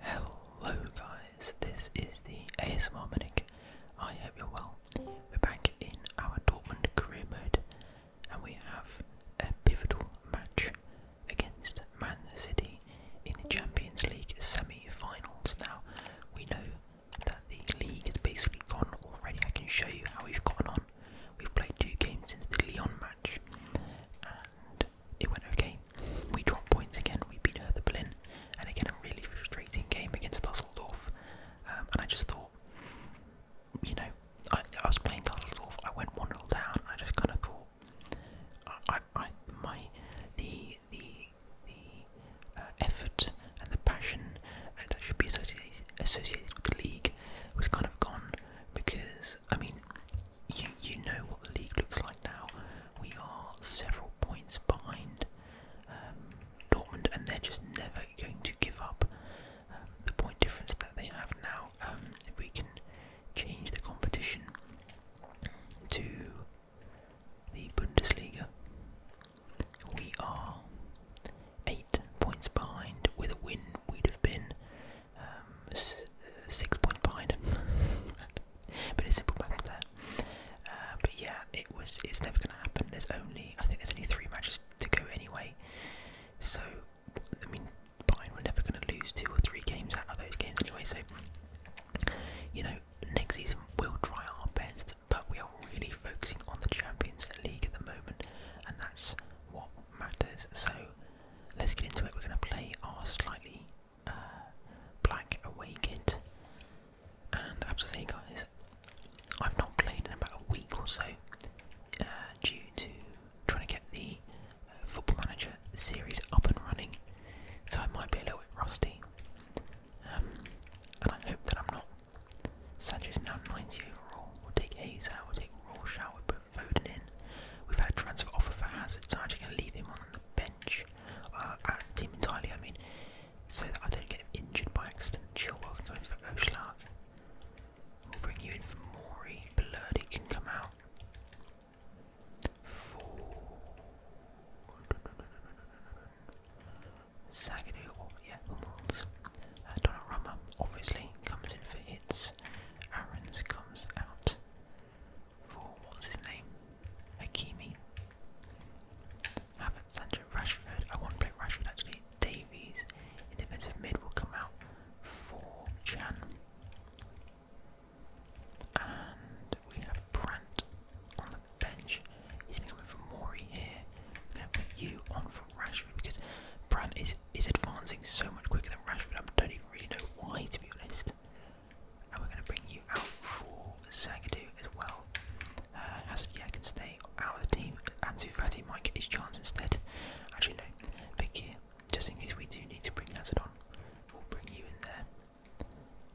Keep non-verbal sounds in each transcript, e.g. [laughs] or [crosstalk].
Hello guys, this is the ASMR Medic. I hope you're well. We're back in our Dortmund career mode and we have a pivotal match against Man City in the Champions League semi-finals. Now, we know that the league is basically gone already. I can show you how we've gotten on. We've played two games since the Lyon match it went okay. We dropped points again, we beat Hertha Berlin, and again a really frustrating game against Dusseldorf. Um, and I just thought, you know, I, was playing Dusseldorf, I went 1 0 down, I just kind of thought, I, I, my, the, the, the uh, effort and the passion uh, that should be associated, associated with the league was kind of gone because, I mean, you, you know what the league looks like now. We are several points behind um, Dortmund, and they're just never going to give up um, the point difference that they have now. Um, if we can change the competition to the Bundesliga, we are eight points behind. With a win, we'd have been um, uh, six point behind [laughs] but it's simple math there. Uh, but yeah, it was. It's never going to happen. There's only I think there's only three matches to go anyway. So I mean, Bayern were never going to lose two or three games out of those games anyway. So you know, next season we'll try our best, but we are really focusing on the Champions League at the moment, and that's what matters. So let's get into it. We're going to play our slightly uh, Black away and I guys, I've not played in about a week or so uh, due to trying to get the uh, Football Manager series up and running, so I might be a little bit rusty. Um, and I hope that I'm not. Sancho's now 90 overall. We'll take Hayes we'll take Raw Shower, voted in. We've had a transfer offer for Hazard, so I'm actually going to leave him on the bench, out the team entirely, I mean, so that I don't get him injured by accident. Chilwell can for Oshlark. We'll bring you in for Mori. Blurdy can come out. For... Sagadu, oh, yeah, Hummels. Uh, Donnarumma obviously comes in for hits. Aaron's comes out for what's his name? Hakimi. Havertz, Sancho, Rashford. I want to play Rashford actually. Davies in defensive mid will come out for Chan. And we have Brandt on the bench. He's going to come in for Mori here. I'm going to put you on for Rashford because Brandt is, is advancing so much quicker than Rashford. I don't even really know why, to be honest and we're going to bring you out for Zagadou as well. Uh, Hazard, yeah, can stay out of the team. and Fati might get his chance instead. Actually, no, big just in case we do need to bring Hazard on, we'll bring you in there,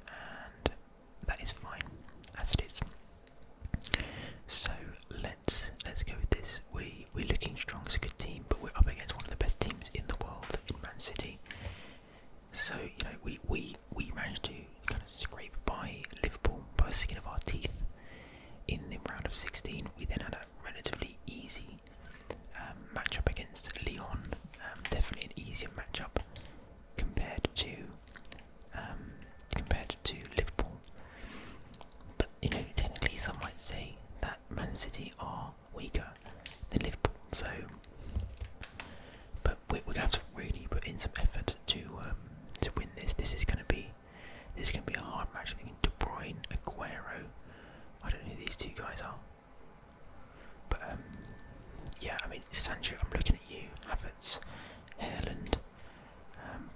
and that is fine as it is. So let's let's go with this. We we're looking strong as a good team, but we're up against one of the best teams in the world in Man City. So you know we we we managed to kind of scrape by Liverpool by the skin of our teeth in the round of 16. We then had a relatively easy um, matchup against Leon. Um, definitely an easier matchup compared to um, compared to Liverpool. But you know, technically, some might say that that Man City are weaker than Liverpool, so but we're gonna have to really put in some effort to um, to win this. This is gonna be this is gonna be a hard match. I De Bruyne, Aguero. I don't know who these two guys are, but um, yeah, I mean Sancho. I'm looking at you, Havertz, Haaland, um,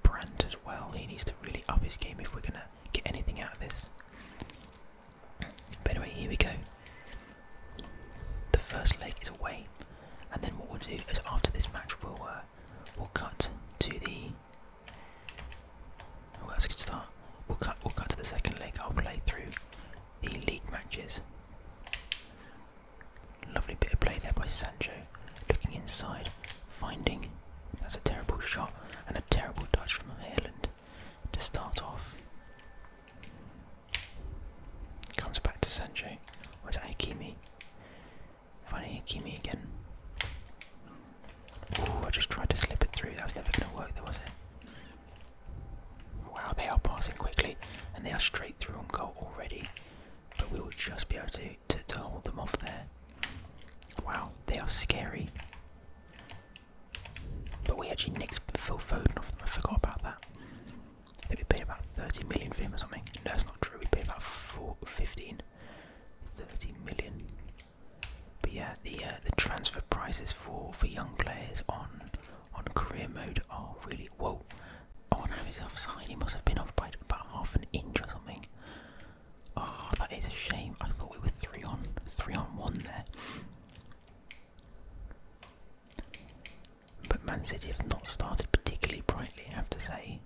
as well. He needs to really up his game if we're gonna get anything out of this. But anyway, here we go. The first leg is away, and then what we'll do is after this match we'll uh, we'll cut to the. Oh, that's a good start. We'll cut. We'll cut to the second leg. I'll play through the league matches. Lovely bit of play there by Sancho, looking inside, finding. That's a terrible shot and a terrible dodge from Haaland to start off. Comes back to Sanjay. Or is that Hikimi? Finding Hikimi again. Oh, I just tried to slip it through. That was never going to work, though, was it? Wow, they are passing quickly, and they are straight through on goal already. But we will just be able to, to hold them off there. Wow, they are scary. But we actually nicked Phil Foden off them. I forgot about that. I we paid about 30 million for him or something. No, that's not true. We paid about four, 15, 30 million. But yeah, the uh, the transfer prices for for young players on on career mode are really whoa. Oh, and he's offside. He must have been off by about half an inch or something. Oh, that is a shame. I thought we were three on three on one there. But Man City have not started particularly brightly, I have to say.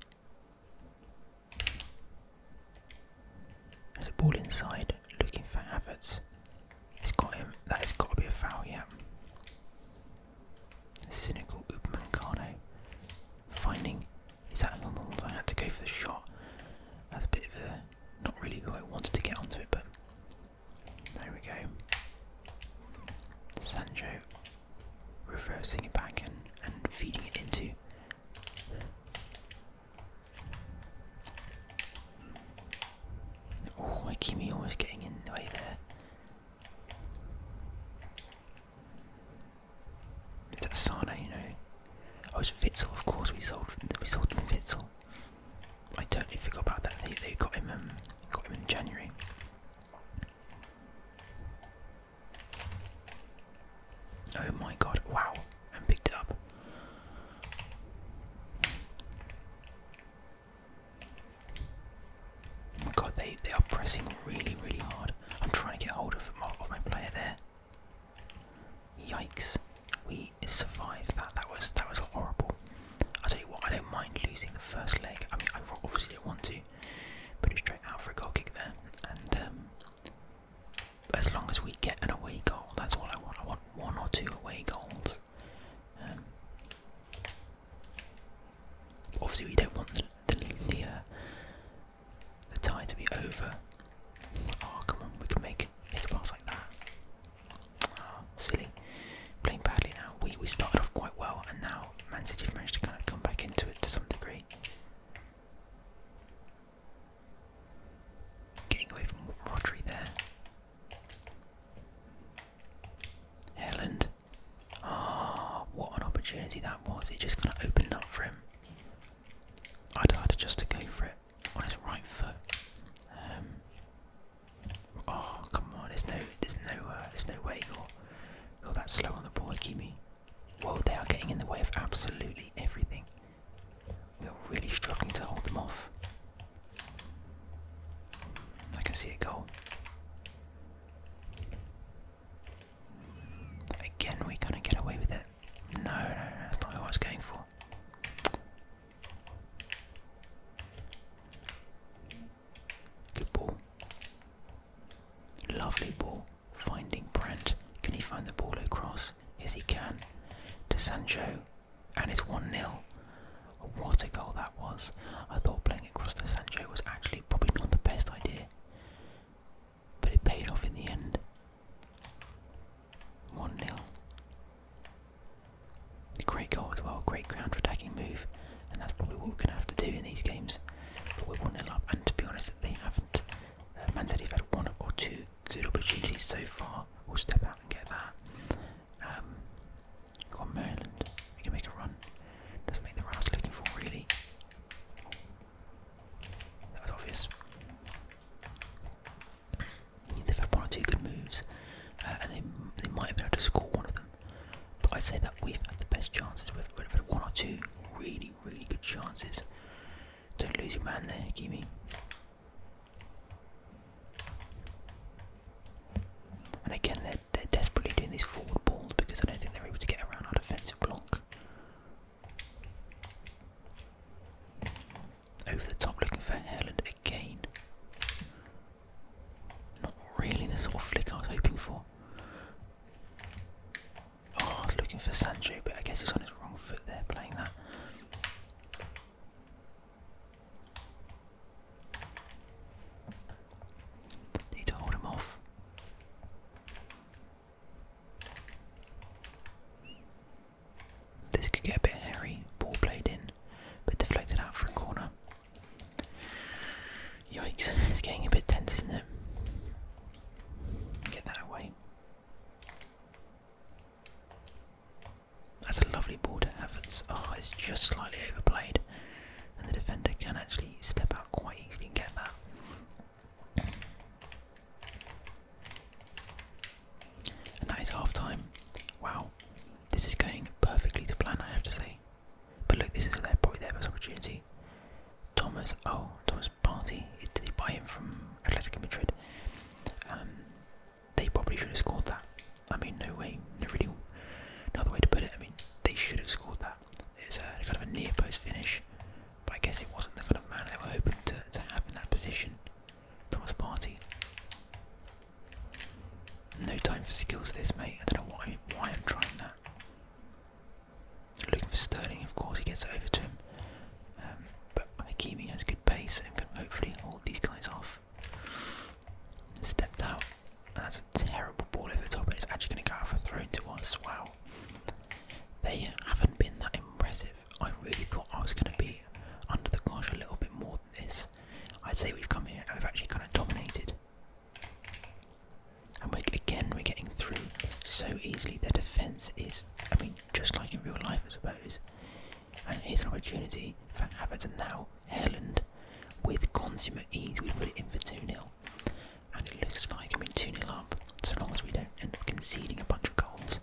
There's a ball inside, looking for Havertz. It's got him. That has got to be a foul, yeah. The cynical Upamancano finding is that I had to go for the shot. That's a bit of a not really who I wanted to get onto it, but there we go. Sancho reversing it back and, and feeding it into. Oh, Akimi always getting in the way there. Is that Sane? You know, oh, it's Vitzel. Of course, we sold. We sold him Fitzel. I totally forgot about that. They they got him um, got him in January. Oh my god! Wow, I'm picked up. Oh my god, they they are pressing really really hard. I'm trying to get hold of, of my player there. Yikes! We survived that. That was that was horrible. I tell you what, I don't mind losing the first leg. I mean, I obviously don't want to, put it straight out for a goal kick there. And um, as long as we get an away goal, that's all I want. I want one or two away goals. Um, obviously, we don't want the uh, tie to be over Oh, come on, we can make, make a pass like that. Oh, silly. Playing badly now. We, we started off quite well, and now Manchester United managed to kind of come back into it to some degree. Getting away from Rodri there. Helland. Ah, oh, what an opportunity that was. It just kind of opened up for him. I decided just to go for it on his right foot. Um, oh come on! There's no, there's no, uh, there's no way you're, you that slow on the ball, Kimi. Whoa! they are getting in the way of absolutely everything. We are really struggling to hold them off. I can see it go. Again, we are gonna get away with it. No, no, no, that's not who I was going for well. Lovely ball. Finding Brent. Can he find the ball across? Yes, he can. To Sancho. And it's 1 0. What a goal that was. I thought playing across to Sancho was actually probably not the best idea. But it paid off in the end. 1 0. Great goal as well, great counter attacking move, and that's probably what we're going to have to do in these games. But we're 1 0 up, and to be honest, they haven't. Uh, Man City have had one or two good opportunities so far. We'll step out and get that. go um, on, Maryland. We can make a run. Doesn't make the run I was looking for, really. That obvious. They've had one or two good moves, uh, and they, they might have been able to score one of them. But I'd say that we've had the best chances. We've, had one or two really, really good chances. Don't lose your man there, Kimi. And again, they're, they're desperately doing these forward balls because I don't think they're able to get around our defensive block. Over the top looking for Haaland again. Not really the sort of flick I was hoping for. Oh, looking for Sancho, but I guess he's on his wrong foot there playing that. Need to hold him off. This could get a bit hairy. Ball played in, but deflected out for a corner. Yikes, it's getting a bit tense, isn't it? Get that away. That's a lovely ball to Havertz. Oh, it's just slightly overplayed, and the defender can actually step out quite easily and get that. And that is half time. Wow. This is going perfectly to plan, I have to say. But look, this is their, probably their best opportunity. Thomas, oh, Thomas Party. Did he buy him from Atletico Madrid? Um, they probably should have scored that. I mean, no way, no really, no other way to put it. I mean, they should have scored that. It's a kind of a near post finish, but I guess it wasn't the kind of man they were open to, to have in that position. Thomas Party. No time for skills this mate, I don't know why, why I'm trying that. Looking for Sterling, of course, he gets over to him. Um, but Hakimi has good pace and can hopefully hold these guys off. Stepped out, that's a terrible ball over the top, and it's actually going to go off a throw to us. Wow. They haven't been that impressive I really thought I was going to be under the cosh a little bit more than this. I'd say we've come here and we've actually kind of dominated. And we, again, we're getting through so easily. The defence is, I mean, just like in real life, I suppose. And here's an opportunity for Havertz now Herland with consummate ease. We put it in for 2 0. And it looks like, I mean, 2 0 up, so long as we don't end up conceding a bunch of goals.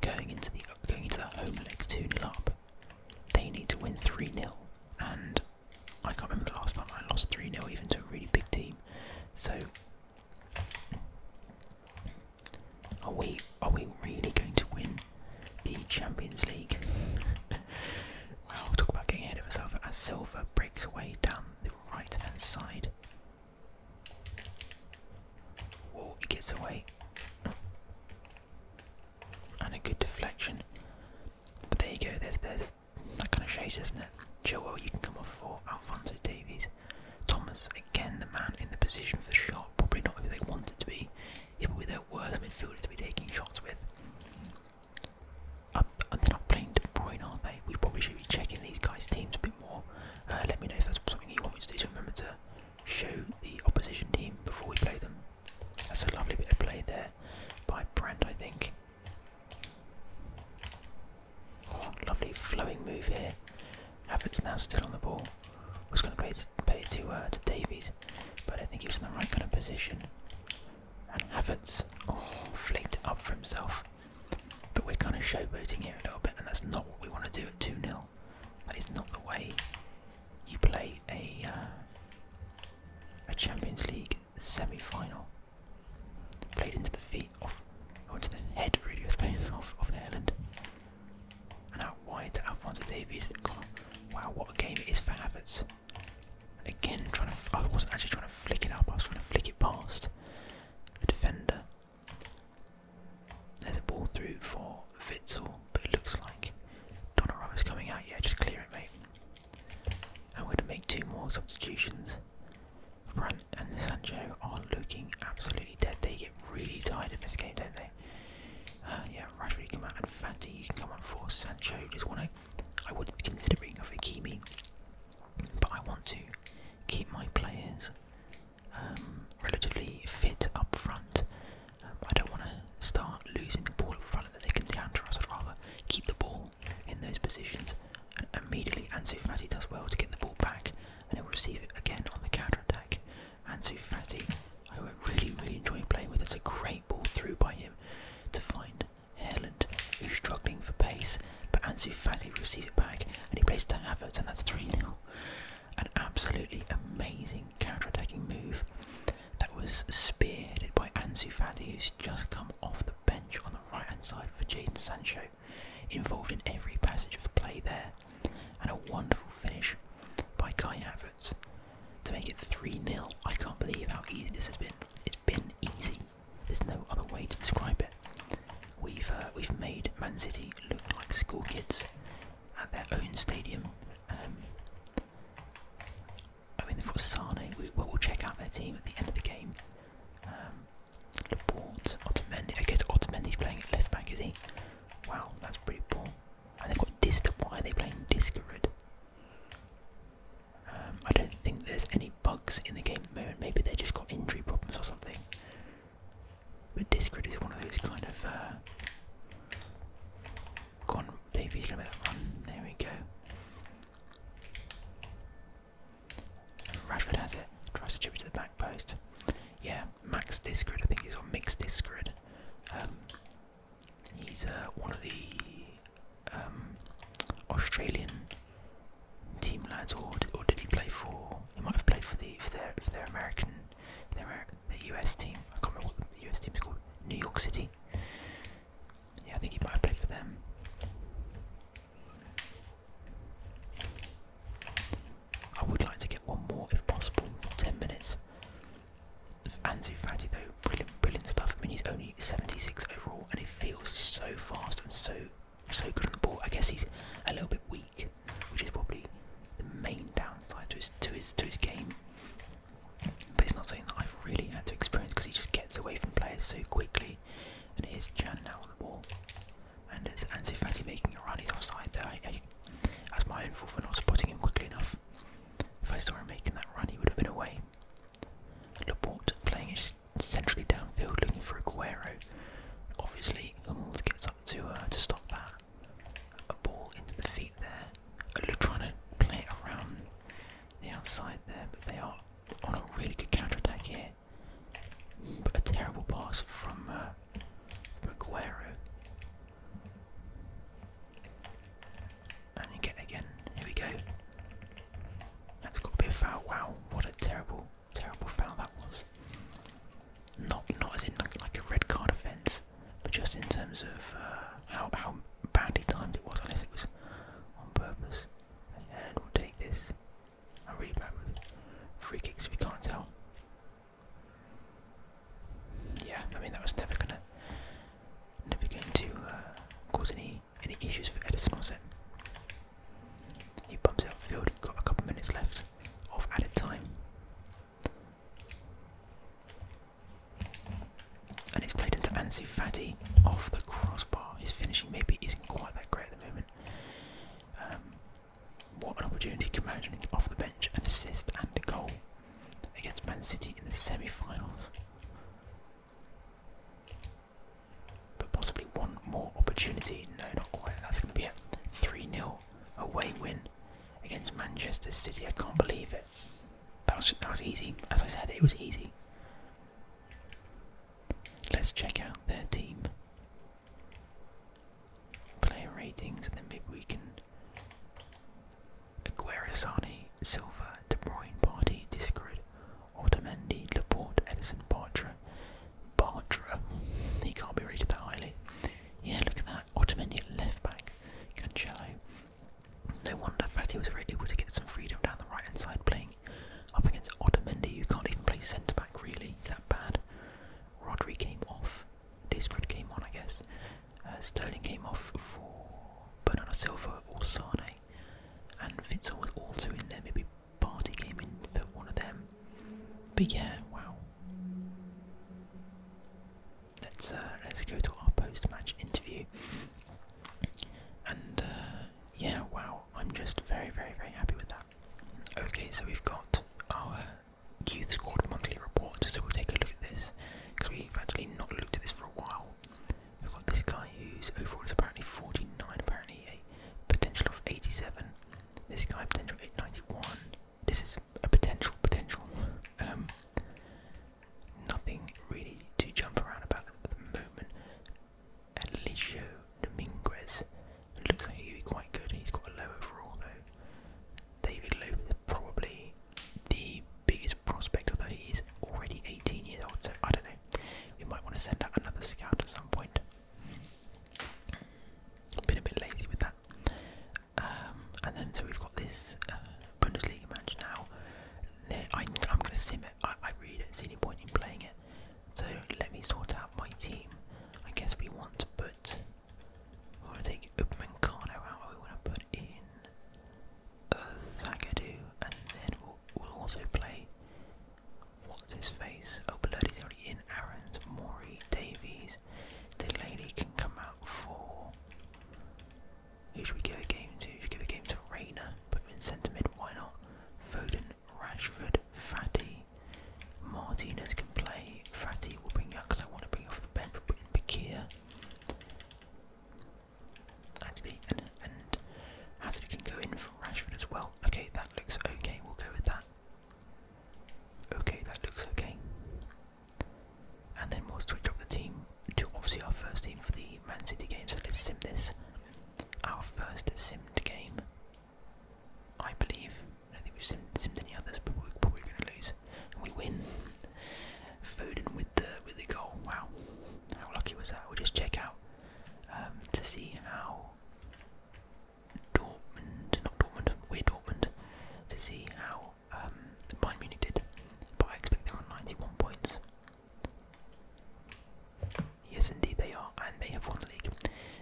Going into the going into the home leg 2-0 up. They need to win 3-0. And I can't remember the last time I lost 3-0 even to a really big team. So are we are we really going to win the Champions League? [laughs] wow, talk about getting ahead of ourselves as Silva breaks away down the right hand side. Whoa, he gets away. And a good deflection. But there you go, there's, there's that kind of shows, doesn't it? well, you can come off for Alfonso Davies. Thomas, again, the man in the position for the shot. Probably not who they want it to be. He's probably their worst midfielder to be taking shots with. they're not playing De Bruyne, are they? We probably should be checking these guys' teams a bit uh, let me know if that's something you want me to do. So remember to show the opposition team before we play them. That's a lovely bit of play there by Brandt, I think. Oh, lovely flowing move here. Havertz now still on the ball. I was going to play it, play it uh, to, Davies, but I think he was in the right kind of position. And Havertz, oh, flicked it up for himself. But we're kind of showboating here a little bit, and that's not what we want to do at 2 0. That is not the way you play a uh, a Champions League semi-final. Played into the feet of, or the head really, I suppose, [laughs] of of Haaland. And out wide to Alphonso Davies. wow, what a game it is for Havertz. Again, trying to. I wasn't actually trying to flick it up. I was trying to flick it past the defender. There's a ball through for Vitzel, but it looks like is coming out. Yeah, just clear it, mate. I'm going to make two more substitutions. Brunt and Sancho are looking absolutely dead. They get really tired in this game, don't they? Uh, yeah, Rashford you come out and Fatty you can come on for Sancho. Just want to. I would consider considering of Hakimi, but I want to keep my players um, relatively fit up front. Um, I don't want to start losing the ball in front of the can counter I'd rather keep the ball in those positions. And immediately, Ansu does well to get the ball back, and he'll receive it again on the counter attack. Ansu I really, really enjoy playing with, it's a great ball through by him to find Haaland, who's struggling for pace. But Ansu Fati receives it back, and he plays to Havertz, and that's 3 0 an absolutely amazing counter-attacking move that was spearheaded by Ansu Fati, who's just come off the bench on the right-hand side for Jaden Sancho, involved in every passage of the play there, and a wonderful finish by Kai Havertz to make it 3-0. I can't believe how easy this has been. It's been easy. There's no other way to describe it. We've uh, we've made Man City look like school kids at their own stadium. Um, I mean, they've got Sane. We, we'll, check out their team at the end of the game. Um, Laporte, Otamendi. I guess Otamendi's playing left back, is he? Wow, that's pretty poor. And they've got Dista. Why are they playing Discarid? Um, I don't think there's any bugs in the game at the moment. Maybe they just got injury problems or something. But Discord is one of those kind of. Uh, go on, Davey's gonna be that one. There we go. Rashford has it. Tries to chip it to the back post. Yeah, Max Discord, I think he's on Max Discord. Um, he's uh, one of the um, Australian team lads, or, or did he play for he might have played for the for their for their American, their the US team. I can't remember what the US team called. New York City. Yeah, I think he might have played for them. I would like to get one more if possible. Ten minutes. Ansu Fati though, brilliant, brilliant stuff. I mean, he's only 76 overall, and he feels so fast and so so good on the ball. I guess he's a little bit weak, which is probably the main downside to his to his to his game. But it's not something that I've really had to experience because he just gets away from players so quickly. And here's Chan now on the ball. And it's Ansu Fati making a run. He's offside there. I, that's my own fault for not spotting him quickly enough. If I saw him making that run, he would have been away. Laporte playing centrally downfield, looking for Aguero. Obviously, Okay, let's get something to uh, to stop that. A ball into the feet there. They're trying to play it around the outside there, but they are on a really good counter attack here. But a terrible pass from uh, Maguero. And you get again. Here we go. That's got to be a foul. Wow, what a terrible Terrible foul that was. Not not as in like, a red card offence, but just in terms of uh, how how badly timed it was. Unless it was on purpose. And we'll take this. i really bad free kicks. If you can't tell. Yeah, I mean that was never gonna, never going to uh, cause any any issues for Edison was it? He bumps it upfield, we got a couple minutes left of added time. And it's played into Ansu Fati off the crossbar. His finishing maybe isn't quite that great at the moment. Um, what an opportunity imagining off the bench, and assist and a goal against Man City in the semi-finals. But possibly one more opportunity. No, not quite. That's going to be a 3 0 away win against Manchester City. I can't believe it. That was, that was easy. As I said, it was easy. Let's check out their team. Player ratings, and then maybe we can. Aguero, Sane, Silva, De Bruyne, Party, Discord, Otamendi, Laporte, Edison, Bartra, Bartra. He can't be rated that highly. Yeah, look at that. Ottomani left back. Cancelo. No wonder Fati was able to get some freedom down the right hand side playing up against Otamendi, You can't even play centre back really, that bad. Rodri came off, Discord came on, I guess. Uh, Sterling came off for Bernardo Silva or Sane, and Vincent was also in there, maybe party came in for one of them. But yeah, wow. Let's uh, let's go to our post-match interview. And uh, yeah, wow, I'm just very, very, very happy with that. Okay, so we've got our youth squad monthly report, so we'll take a look at this because we've actually not looked at this for a while. We've got this guy whose overall is apparently 49, apparently a potential of 87. This guy potential 891. This is a potential potential. Um, nothing really to jump around about at the moment. Alicio Dominguez looks like he'd be quite good. He's got a low overall though. David Loeb is probably the biggest prospect, although he is already 18 years old. So I don't know. We might want to send out another scout at some point. Been a bit lazy with that. Um, and then so we've got this uh, Bundesliga match now. I, am going to sim it. I, really don't see any point in playing it. So let me sort out my team. I guess we want to put. We want to take Upmankano out. We want to put in uh, Zagadou, and then we'll also play What's his face? Oh, Bloody's already in. Aaron's, Maury, Davies. The lady can come out for. Who should we give a game to? Should we give a game to Rayner? Put him in centre mid. Why not? Foden, Rashford, Fatty. Martinez can play. Fatty will bring you because I want to bring you off the bench. We'll put in Bakir. Actually, and, and Hazard can go in for Rashford as well. Okay, that looks okay. We'll go with that. Okay, that looks okay. And then we'll switch up the team to obviously our first team for the Man City game, so let's sim this. Our first simmed game, I believe. I don't think we've simmed, any others, but we're probably going to lose. And we win. Foden with the with the goal. Wow, how lucky was that? We'll just check out um, to see how Dortmund, not Dortmund, we're Dortmund, to see how um, Bayern Munich did, but I expect they are 91 points. Yes, indeed they are, and they have won the league.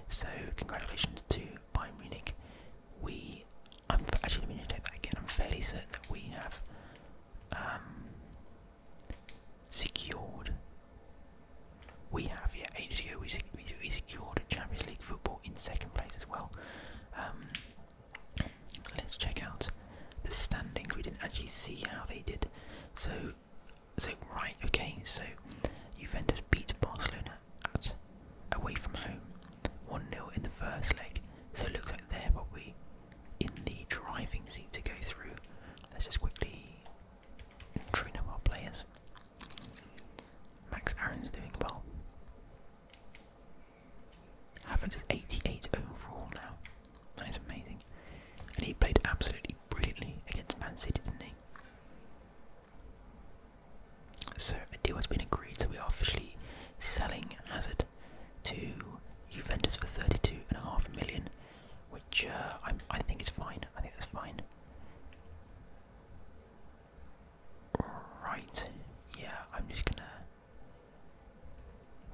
So congratulations to Bayern Munich. We, I'm actually going to take that again. I'm fairly certain that we have um, secured we have, here. ages ago we, secured a Champions League football in second place as well. Um, let's check out the standings. We didn't actually see how they did. So, so right, okay. So, Juventus beat Barcelona at away from home, one 0 in the first leg. So it looks like they're probably in the driving seat to go through. Let's just quickly Trina more players. Max Aaron's doing well. Havertz is 88 overall now. That is amazing. And he played absolutely brilliantly against Man City, didn't he? So a deal has been agreed, so we are officially selling Hazard to Juventus for 32.5 million, which uh, I think is fine. I think that's fine. Right, yeah, I'm just gonna.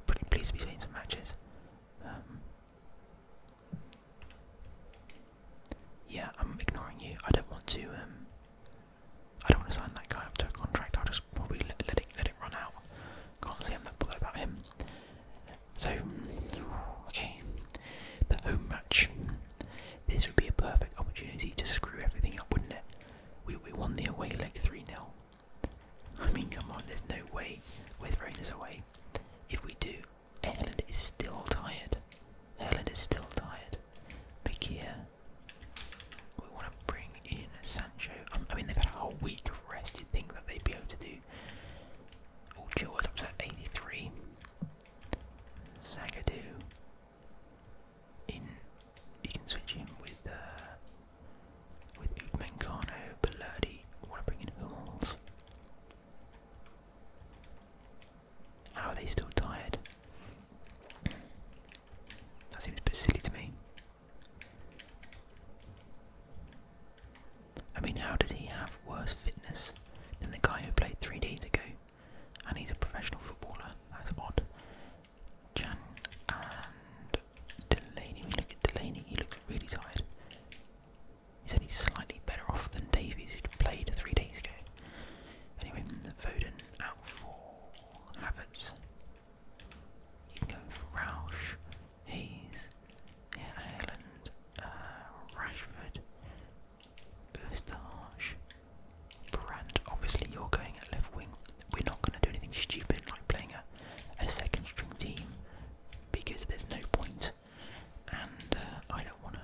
Pretty pleased to be seeing some matches. Um, yeah, I'm ignoring you. I don't want to. Um, I don't want to sign that guy up to a contract. I'll just probably let, it let it run out. Can't say i that bothered about him. So, okay. The oh, home match. This would be a perfect opportunity to screw everything up, wouldn't it? We, we won the away leg 3 0. I mean, come on, there's no way we're throwing this away. If we do, Erland is still tired. Erland is still tired. Mikia. We want to bring in Sancho. I mean, they've had a whole week of rest. you think that they'd be able to do. Oh, Chilwell's up to 83. Zagadou. In you can switch him with uh, with Utmankano, oh, Bellardi, wanna bring in Hummels. How are they still tired? That seems a bit silly to me. I mean, how does he have worse fitness than the guy who played three days ago, and he's a professional footballer. That's odd. Jan and Delaney. We look at Delaney. He looks really tired. He's only slightly better off than Davies, who played three days ago. Anyway, the Foden out for Havertz. You can go for Roush, Hayes, Ireland, uh, Rashford, Eustache. Brand, obviously you're going at left wing. We're not going to do anything stupid like playing a, a second string team because there's no point. And uh, I don't want to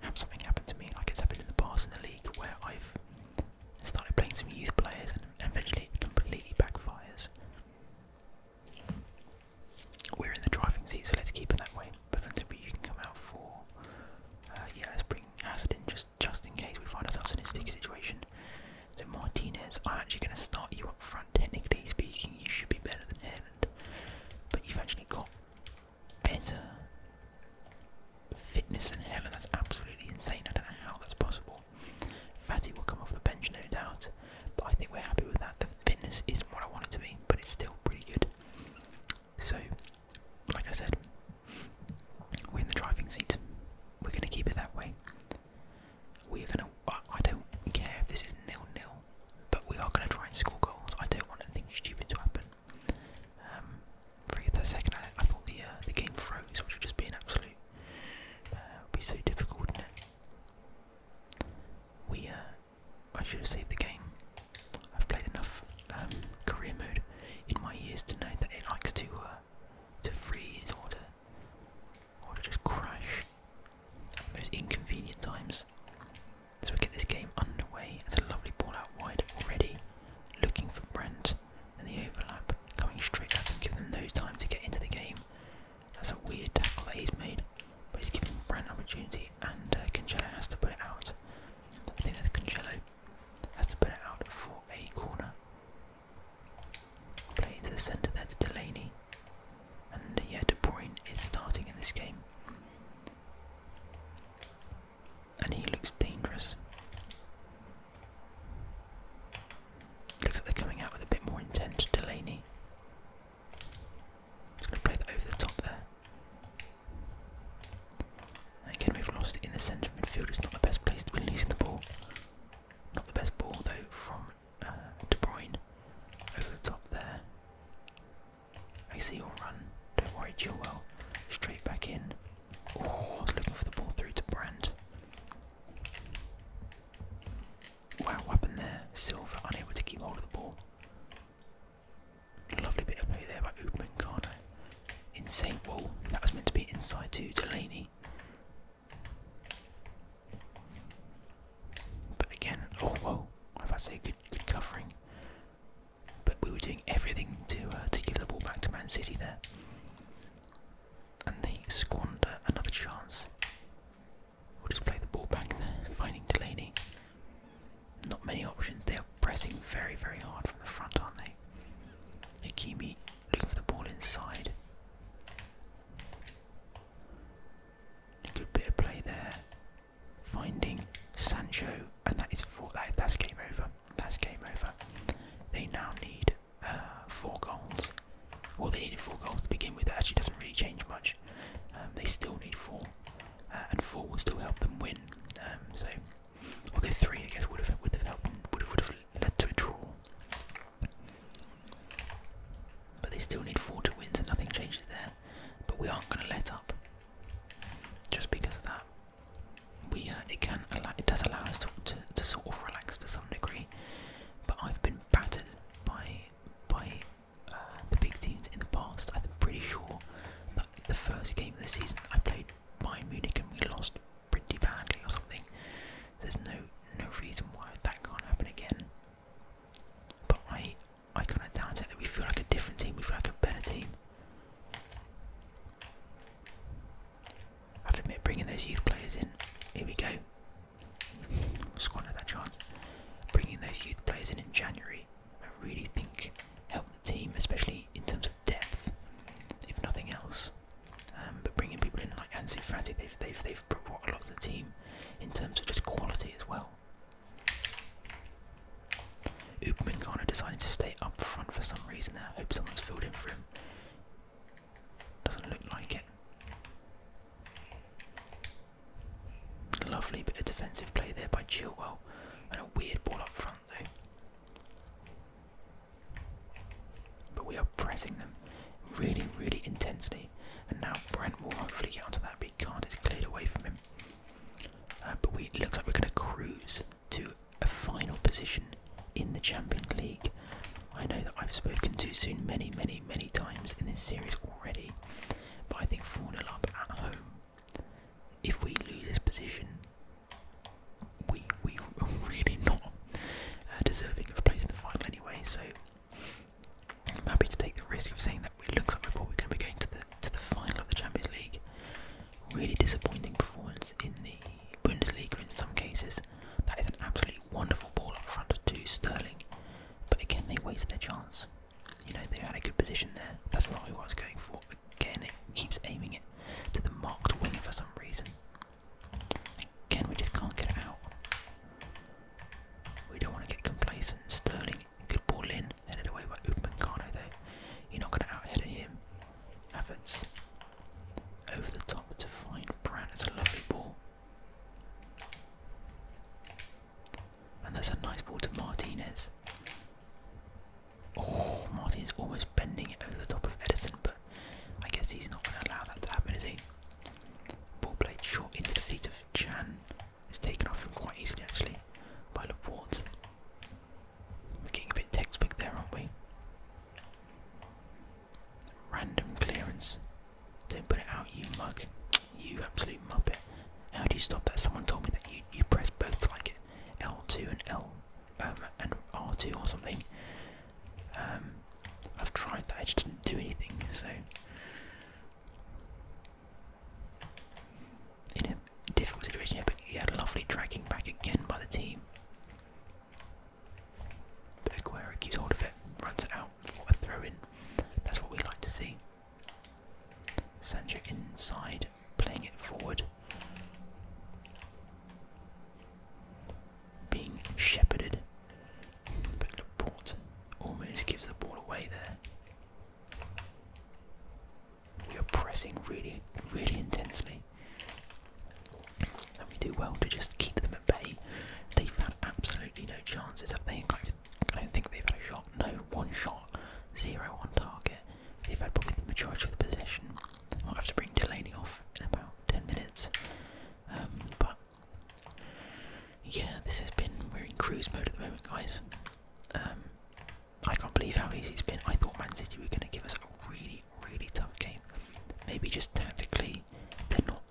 have something happen to me like it's happened in the past in the league where I've started playing some youth players and eventually completely backfires. We're in the driving seat, so let's keep it that way. But Bentonby, you can come out for. Uh, yeah, let's bring Hazard in just, just in case we find ourselves in a sticky situation. So Martinez, I'm actually going to start you up front. Technically speaking, you should be better than Haaland, but you've actually got better fitness than Haaland. That's absolutely insane. I don't know how that's possible. Fatty will come off the bench, no doubt, but I think we're happy with that. The fitness isn't what I want it to be, but it's still pretty good. So, like I said, we're in the driving seat. We're going to keep it that way. We are going to. I don't care if this is nil nil, but we are going to try and score goals. I don't want anything stupid to happen. Um, for the second, I, thought the uh, the game froze, which would just be an absolute. Uh, be so difficult, wouldn't it? We uh, I should have saved the game. I've played enough um, career mode in my years to know that it likes to uh, to freeze or to just crash at most inconvenient times. So we get this game underway. It's a lovely ball out wide already, looking for Brent and the overlap coming straight up and give them no time to get into the game. That's a weird tackle that he's made but he's given Brand opportunity, and uh, Cancelo has to put it out. I think that Cancelo has to put it out for a corner. Play into the centre there to Delaney, and yeah, De Bruyne is starting in this game, and he looks dangerous. Looks like they're coming out with a bit more intent. Delaney just gonna play that over the top there. Again, we've lost it in the centre of midfield. It's not the best place to be losing the ball. Not the best ball though from uh, De Bruyne over the top there. I see your run. Don't worry, Chilwell. Straight back in. Oh, looking for the ball through to Brand. Wow, weapon there. Silver unable to keep hold of the ball. Lovely bit of play there by Upamecano. Eh? Insane wall. That was meant to be inside to Delaney. But again, oh whoa! I've had to say good, good covering. But we were doing everything to uh, to give the ball back to Man City there, and they squander another chance. We'll just play the ball back there, finding Delaney. Not many options. They are pressing very, very hard from the front, aren't they? Hakimi looking for the ball inside. A good bit of play there. Finding Sancho, and that is for that, that's game over. That's game over. They now need uh, four goals. Well, they needed four goals to begin with. That actually doesn't really change much. Um, they still need four and four will still help them win. Um, so, although three, I guess, would have would have helped them, would have, would have led to a draw. But they still need four to win, so nothing changes there. But we aren't going to let up just because of that. We uh, it can it does allow us to, to to sort of relax to some degree. But I've been battered by by uh, the big teams in the past. I'm pretty sure that the first game of the season I played Bayern Munich and we lost pretty badly or something. There's no no reason why that can't happen again. But I I kind of doubt it. we feel like a different team. We feel like a better team. I have to admit, bringing those youth players in. Here we go. Squander that chance. Bringing those youth players in in January I really think help the team, especially in terms of depth, if nothing else. Um, but bringing people in like Ansu Fati, they've they've brought a lot of the team in terms of just quality as well. Upamecano deciding to stay up front for some reason. There, I hope someone's filled in for him. Doesn't look like it. Lovely bit of defensive play there by Chilwell, and a weird ball up front though. But we are pressing them really, really intensely, and now Brent will hopefully get onto that big card. It's cleared away from him. Uh, but we, it looks like we're going to cruise to a final position in the Champions League. I know that I've spoken too soon many, many, many times in this series already, but I think 4 0 up at home, if we lose this position, we, we are [laughs] really not uh, deserving of a place in the final anyway. So I'm happy to take the risk of saying that we looks like we're probably going to be going to the, to the final of the Champions League. Really disappointing performance in the Bundesliga in some cases. That is an absolutely wonderful ball up front to Sterling, but again, they waste their chance. You know, they had a good position there. That's not what I was going for. Again, it keeps aiming it to the marked wing for some reason. Again, we just can't get it out. We don't want to get complacent. Sterling, good ball in. Headed away by Upamecano though. You're not going to outhead him. Havertz over the top to find Brown. It's a lovely ball. And that's a nice ball to Martinez. Oh, Martinez almost bending it over the top of Edison, but I guess he's not going to allow that to happen, is he? Ball played short into the feet of Chan. It's taken off him quite easily, actually, by Laporte. We're getting a bit textbook there, aren't we? Random clearance. Don't put it out, you mug. You absolute muppet. How do you stop that? Someone told me that you, you press both like L2 and L um, and R2 or something. Um, I've tried that, I just did not do anything, so. In a difficult situation here, but had lovely tracking back again by the team. But Aguero keeps it, runs it out for a throw in. That's what we like to see. Sancho inside, playing it forward. Being shepherded. But almost gives the ball away there. We are pressing really, really intensely. And we do well to just keep them at bay. They've had absolutely no chances, have they? In fact, I don't think they've had a shot. No, one shot, zero on target. They've had probably the majority of the possession. Might have to bring Delaney off in about 10 minutes. Um, but yeah, this has been. We're in cruise mode at the moment, guys. Um, I can't believe how easy it's been. I thought Man City were going to give us a really, really tough game. Maybe just tactically, they're not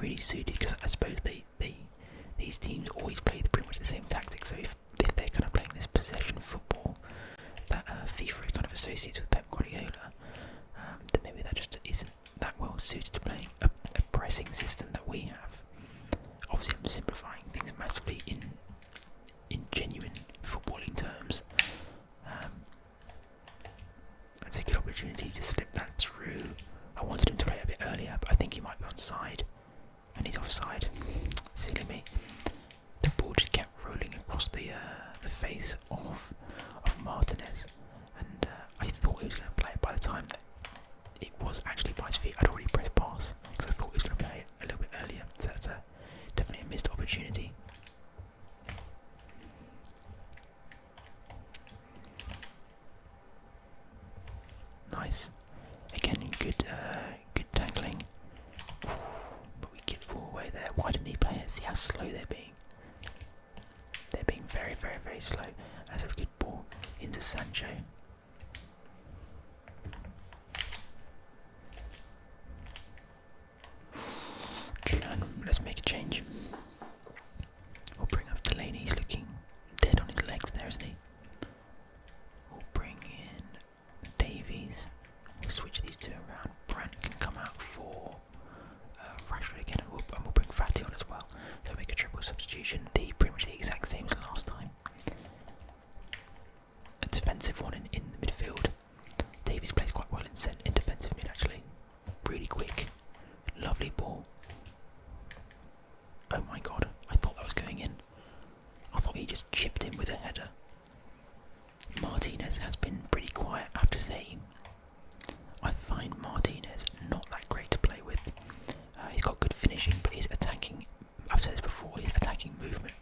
really suited because I suppose they, they these teams always play pretty much the same tactics. So if, if they're kind of playing this possession football that uh, FIFA kind of associates with Pep Guardiola, um, then maybe that just isn't that well suited to playing a, pressing system that we have. Obviously, I'm simplifying things massively in in genuine footballing terms. that's um, a good opportunity to slip that through. I wanted him to play a bit earlier, but I think he might be onside. And he's offside. Silly me. The ball just kept rolling across the uh, the face of of Martinez, and uh, I thought he was going to play it by the time that it was actually by his feet. I'd already pressed pass because I thought he was going to play it a little bit earlier. So that's definitely a missed opportunity. Nice. Again, good, uh, good tackling. but we give the ball away there. Why didn't he play it? See how slow they're being. They're being very, very, very slow. That's a good ball into Sancho. Let's make a change. We'll bring up Delaney. He's looking dead on his legs there, he? We'll bring in Davies. We'll switch these two around. Brand can come out for uh, Rashford again, and we'll, and we'll bring Fatty on as well. So we make a triple substitution. The pretty much the exact same as last time. A defensive one in, the midfield. Davies plays quite well in, centre in defensive mid actually. Really quick. Lovely ball. Oh my god, I thought that was going in. I thought he just chipped in with a header. Martinez has been pretty quiet, I have to say. I find Martinez not that great to play with. Uh, he's got good finishing, but his attacking, I've said this before, his attacking movement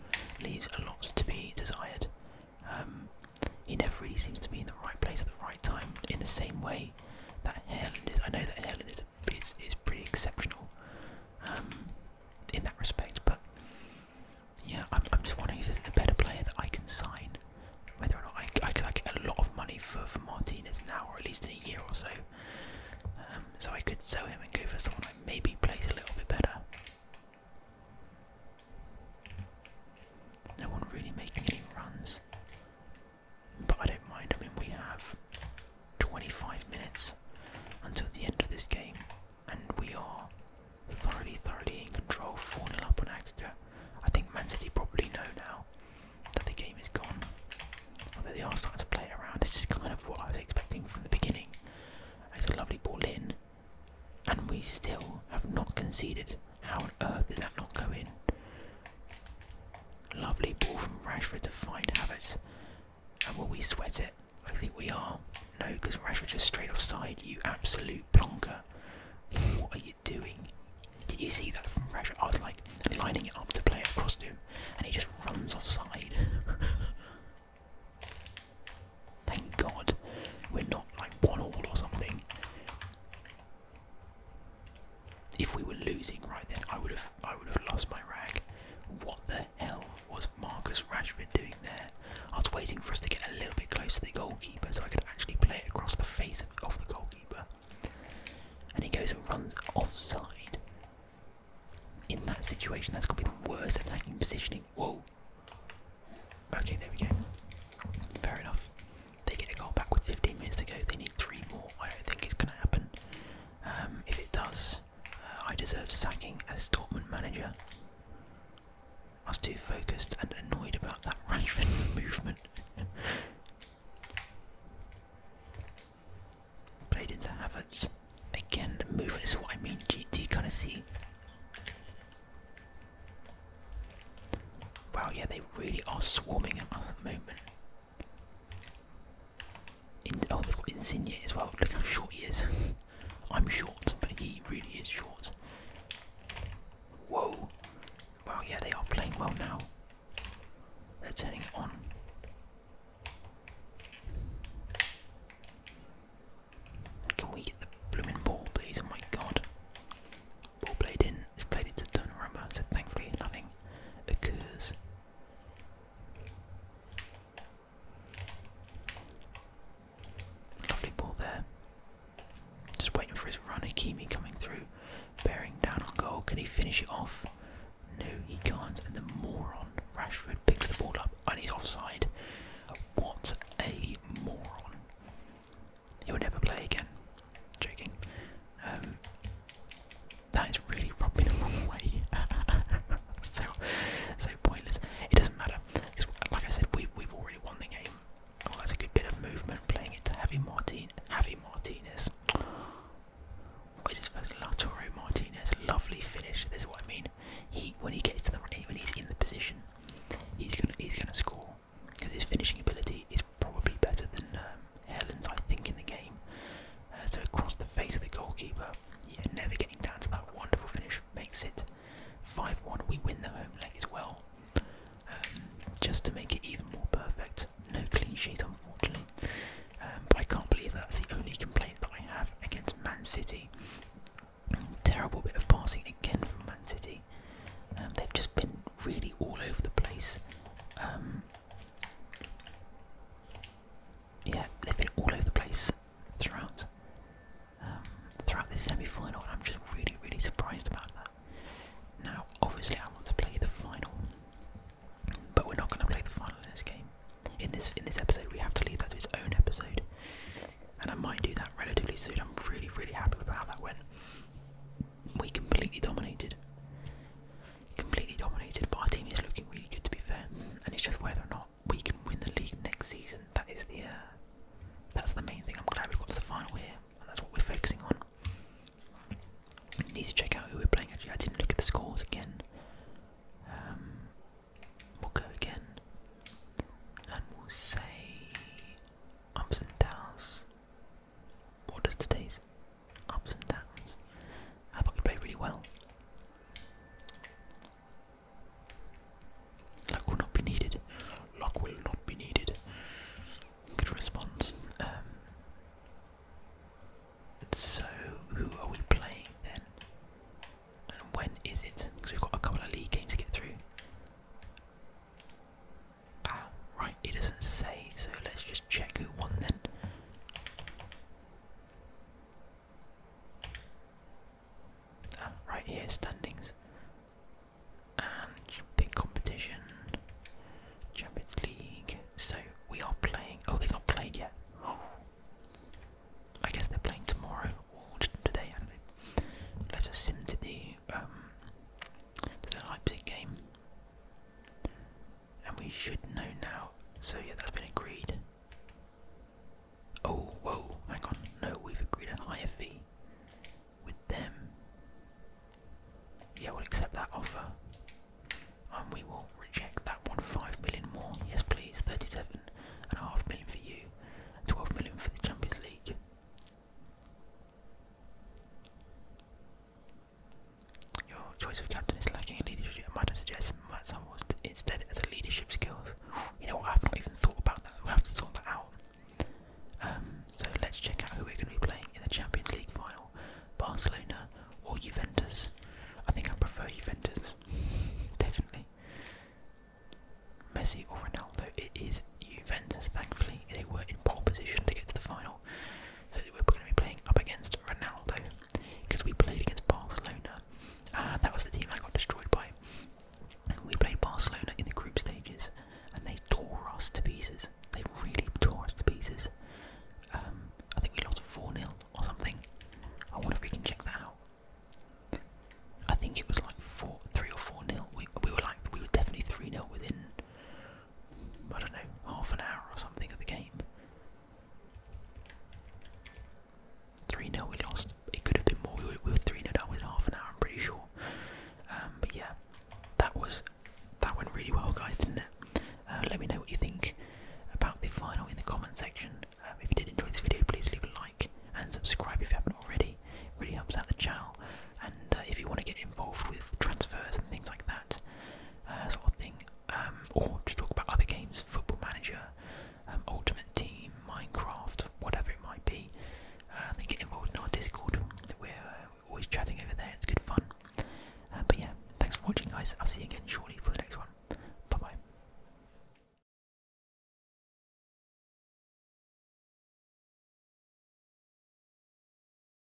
leaves a lot to be desired. Um, he never really seems to be in the right place at the right time in the same way that Haaland is. I know that Haaland is is is, pretty exceptional um, in that respect. But yeah, I'm, I'm just wondering if there's a better player that I can sign, whether or not I, I could get a lot of money for for Martinez now, or at least in a year or so. Um, so I could sell him and go for someone that maybe plays a little bit better. No one really making any runs. But I don't mind. I mean, we have 25 minutes until the end of this game, and we are thoroughly, thoroughly in control. 4 0 up on aggregate. I think Man City probably know now that the game is gone. Although they are starting to play around. This is kind of what I was expecting from the beginning. It's a lovely ball in, and we still have not conceded. How on earth did that not go in? Lovely ball from Rashford to find Havertz. And will we sweat it? I think we are. No, because Rashford just straight offside, you absolute plonker. What are you doing? Did you see that from Rashford? I was like lining it up to play it across him, and he just runs offside. [laughs] Thank God we're not like one all or something. If we were losing right then, I would have I would have lost my rag. What the hell was Marcus Rashford doing there? I was waiting for us to get a little bit closer to the goalkeeper so I could actually play it across the face of the goalkeeper. And he goes and runs offside. In that situation, that's going to be the worst attacking positioning. Whoa. Okay, there we go. Fair enough. They get a goal back with 15 minutes to go. They need three more. I don't think it's going to happen. Um, if it does, uh, I deserve sacking as Dortmund manager. I was too focused and annoyed about that [laughs] Rashford movement. [laughs] Played into Havertz. Again, the move is what I mean. GT kind of see. Wow, yeah, they really are swarming us at the moment oh, they've got Insigne as well. Look how short he is. [laughs] I'm short, but he really is short. Whoa! Wow, yeah, they are playing well now. They're turning it on. Can we get the blooming ball, please? Oh my god. Ball played in. It's played into Donnarumma, so thankfully nothing Lovely ball there. Just waiting for his run. Akimi coming through, bearing down on goal. Can he finish it off? No, he can't. And the moron Rashford picks the ball up and he's offside. What a moron! He'll never play again. Joking. Um, that is really rubbing the wrong way. [laughs] so, so pointless. It doesn't matter. Because, like I said, we, we've already won the game. Oh, that's a good bit of movement playing it to Javi, Martin, Martinez. What is his first? Latoro Martinez. Lovely finish. This is what I mean. He when he gets to the when he's in the position, he's gonna he's gonna score because his finishing ability is probably better than um, Helen's, I think, in the game. Uh, so across the face of the goalkeeper, yeah, never getting down to that wonderful finish makes it 5-1. We win the home leg as well, um, just to make it even more perfect. No clean sheet, unfortunately. Um, I can't believe that's the only complaint that I have against Man City. Terrible bit of passing again from Man City. Um, they've just been really all over the place yeah, they've been all over the place throughout um, throughout this semi-final, and I'm just really, really surprised about that. Now, obviously, I want to play the final, but we're not going to play the final in this game. In this in this episode, we have to leave that to its own episode, and I might do that relatively soon. I'm really, really happy about how that went. We completely dominated completely dominated. But our team is looking really good, to be fair. And it's just whether or not we can win the league next season. That is the uh, that's the main thing. I'm glad we've got to the final here, and that's what we're focusing on. Need to check out who we're playing. against. I didn't look at the scores again. Um, we'll go again, and we'll say ups and downs. What does today's ups and downs? I thought we played really well. Luck will not be needed. Luck will not be needed. Good response. Um, so, who are we playing then? And when is it? Because we've got a couple of league games to get through right, it doesn't say, so let's just check who won then. Ah, right here, standings. And big competition, Champions League. So we are playing. Oh, they've not played yet. [gasps] I guess they're playing tomorrow today, Let's just sim to the um, to the Leipzig game and we should know now. So yeah, that's been agreed. Oh, whoa, hang on. No, we've agreed a higher fee with them. Yeah, we'll accept that offer. And we will reject that one. Five million more. Yes, please. Thirty-seven and a half million for you. Twelve million for the Champions League. Your choice of captain is lacking in leadership. I might suggest instead as a leadership skills. You know what? I've not even thought about that. We'll have to sort that out. Um, so let's check out who we're going to be playing in the Champions League final: Barcelona or Juventus. I think I prefer Juventus, definitely. Messi or Ronaldo. It is Juventus. Thankfully, they were in poor position to get to the final. So we're going to be playing up against Ronaldo because we played against Barcelona. Uh, that was the team I got destroyed by. We played Barcelona in the group stages and they tore us to pieces. They really tore us to pieces. Um, I think we lost 4 0 or something. I wonder if we can check that out. I think it was like 4 3 or 4 0. We, we were like, we were definitely 3 0 within I don't know, half an hour or something of the game. 3 0 we lost. It could have been more. We were 3 0 down with half an hour, I'm pretty sure. Um, but yeah, that was that went really well, guys, didn't it? Uh, let me know what you think about the final in the comment section. Um, if you did enjoy this video, please leave a like and subscribe if you haven't already. It really helps out the channel. And uh, if you want to get involved with transfers and things like that, uh, sort of thing, um, or to talk about other games, Football Manager, um, Ultimate Team, Minecraft, whatever it might be. Uh, I think get involved in our Discord. We're, uh, we're always chatting over there. It's good fun. Uh, but yeah, thanks for watching, guys. I'll see you again shortly for the next one. Bye bye.